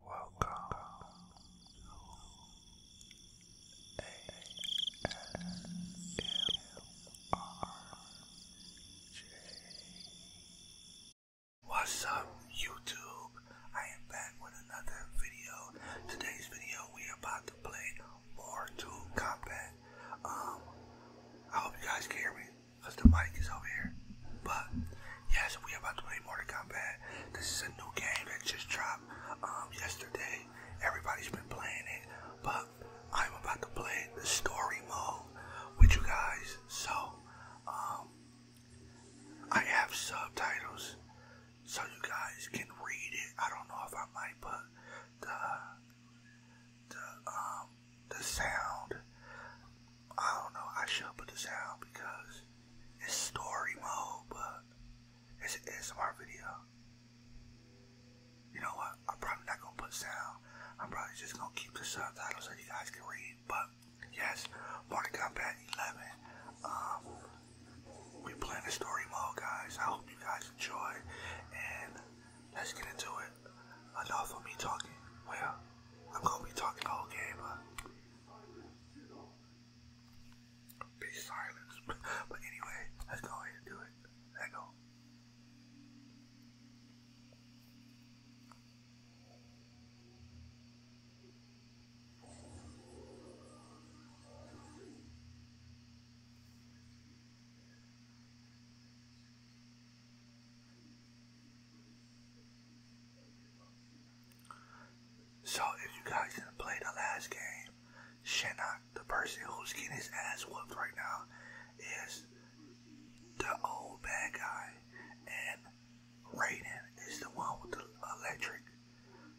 Welcome What's up, YouTube? I am back with another video. Today's video, we are about to play Mortal Kombat. Um, I hope you guys hear me because the mic is over here. But yeah, we about to play Mortal Kombat. This is a new game that just dropped um, yesterday. Everybody's been playing it, but I'm about to play the story mode with you guys. So um, I have subtitles, so you guys can read it. I don't know if I might put the the um the sound I don't know, I should put this out because it's story mode, but it's an ASMR video. You know what? I'm probably not gonna put sound. I'm probably just gonna keep the subtitles so you guys can read. But yes, Morning Combat 11. Um, we playing the story mode, guys. I hope you guys enjoy, and let's get into it. Enough of me talking. Well, I'm gonna be talking the game, but be silence. but anyway, let's go ahead and do it. Let go. So if you guys didn't play the last game, Shinnok, the person who's getting his ass whooped right now, is the old bad guy. And Raiden is the one with the electric.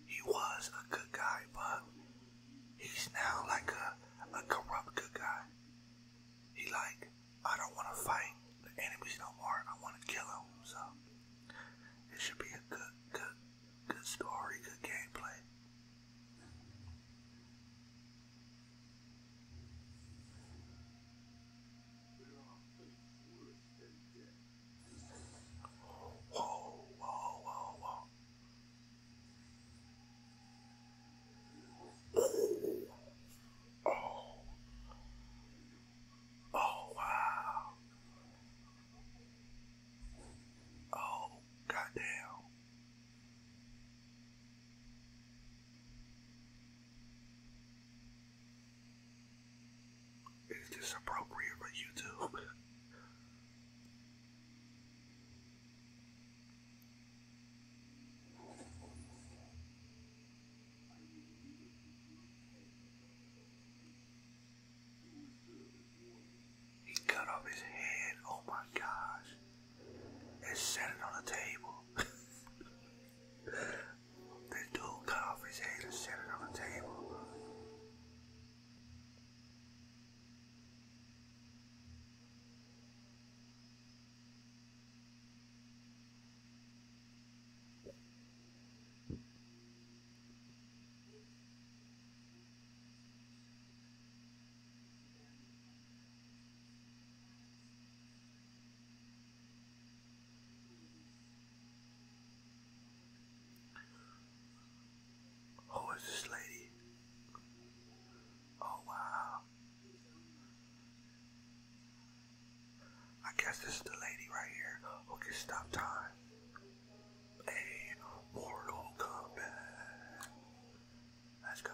He was a good guy, but he's now like a, a corrupt good guy. He like, I don't want to fight the enemies no more. I want to kill them, so... It should be a good, good, good story, good gameplay. Whoa, whoa, whoa, whoa. Oh. Oh wow. Oh goddamn. Is this appropriate for YouTube? He cut off his head, oh my gosh, and set it on the table. this dude cut off his head and set it on the table. Who is this lady? Oh wow. I guess this is the lady right here who can stop time. A Mortal Kombat. Let's go.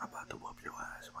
I'm about to whoop your ass, ma.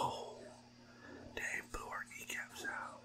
Oh, they blew our kneecaps out.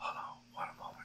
Hold on, one moment.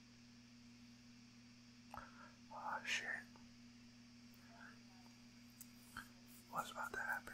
Oh shit. What's about to happen?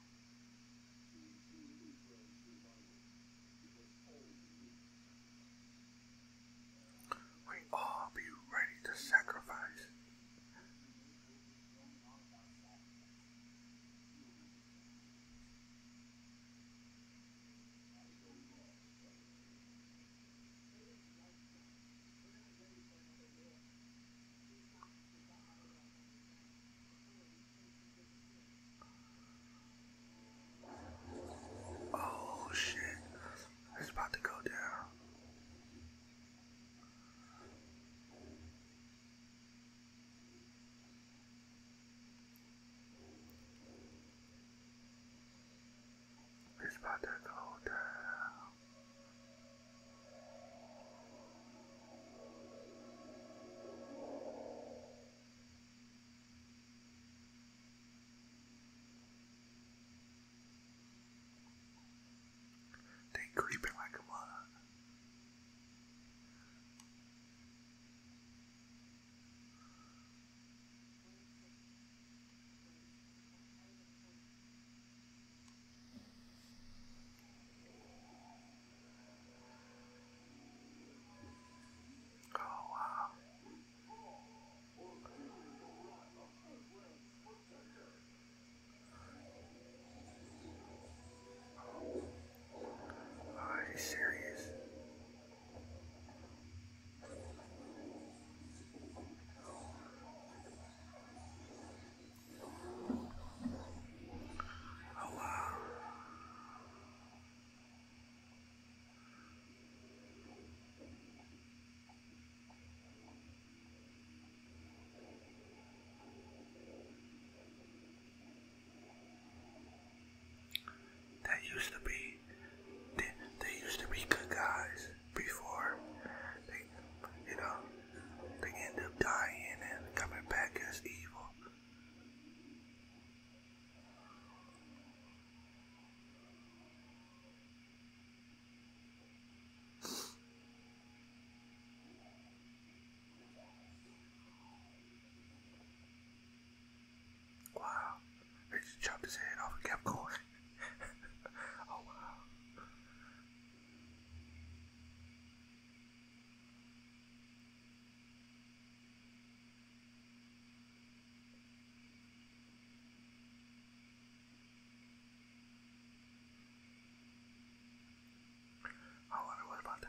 We all be ready to sacrifice. Oh shit, it's about to go down. It's about to go down. They creeping like a mug. Oh, wow. Are you serious? Oh, wow. That used to be, they, they used to be good guys before they, you know, they end up dying and coming back as evil. Wow, he just chopped his head off and kept going. oh, wow. However, what about that?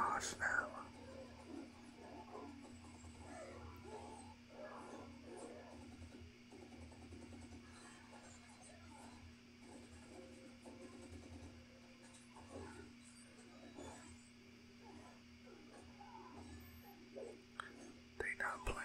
Oh snap. They not playing.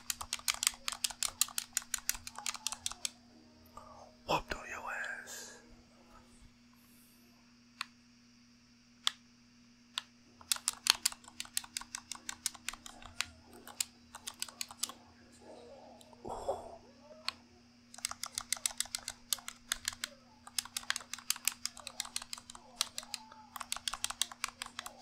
Up to your ass. Ooh.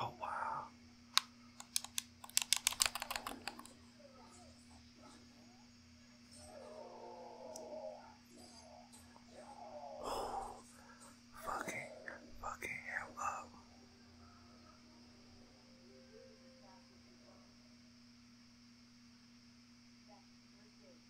Oh, wow. fucking, fucking hell uh.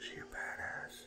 She a badass.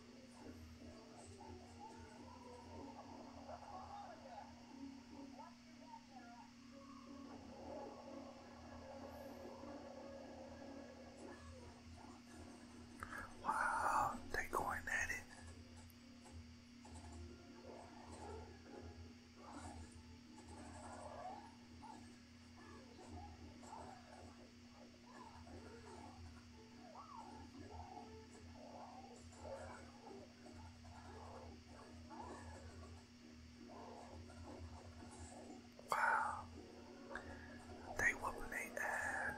Wow, they going at it. Wow. They wobbly and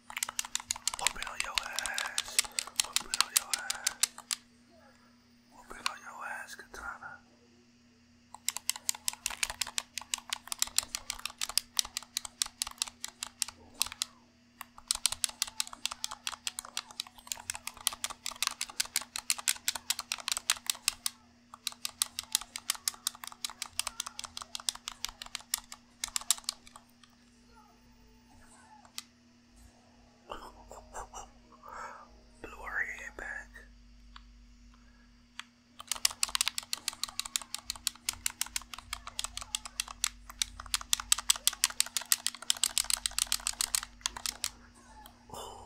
Whooping on your ass. Whooping on your ass. Whooping on your ass, Katana. Blew her head back. Oh.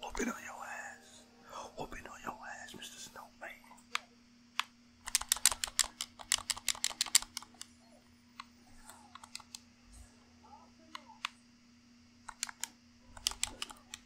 Whooping on your ass. Whooping on your ass, Mr. Snowman.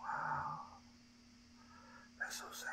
Wow. That's so sad.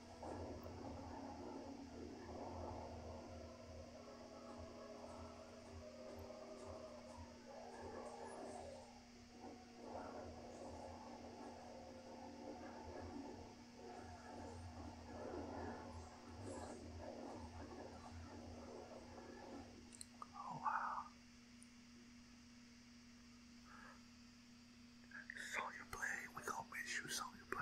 Oh, wow. Saw you play. We going miss you, saw you play.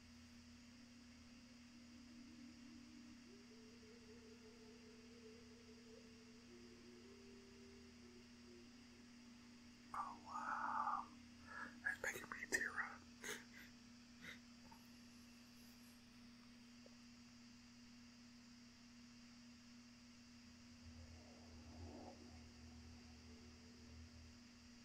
Oh wow, that's making me tear up.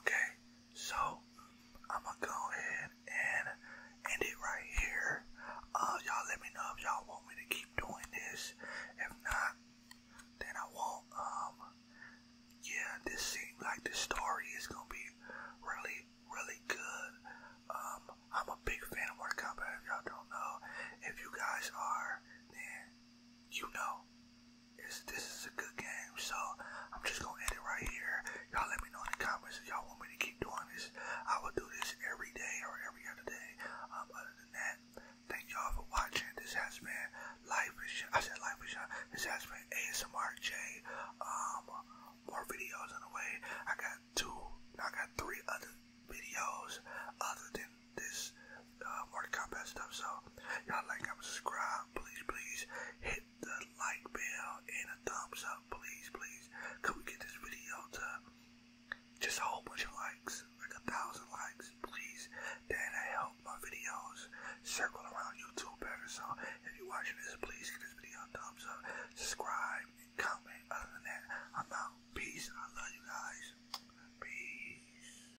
Okay, so I'm gonna go ahead and end it right here. Uh, y'all let me know if y'all want me to keep doing this. If not, then I won't. Um, yeah, this seems like the story is gonna be really, really good. Um, I'm a big fan of Mortal Kombat. If y'all don't know, if you guys are, then you know is this is a good game. So I'm just gonna end it right here. Y'all let me know in the comments if y'all want me to keep doing this. I will do this every day or every other day. Um, other than that, thank y'all for watching. This has been Life is I said Life is This has been ASMR J. Um, more videos on the way. I got two. I got three other videos other than this uh, Mortal stuff. So y'all like, comment, subscribe, please, please hit the like bell and a thumbs up, please, please. Could get this video to just a whole bunch of likes, like a thousand likes, please? That'll help my videos circle around YouTube better. So if you're watching this, please give this video a thumbs up, subscribe, comment. Other than that, I'm out. Peace. I love you guys. Peace.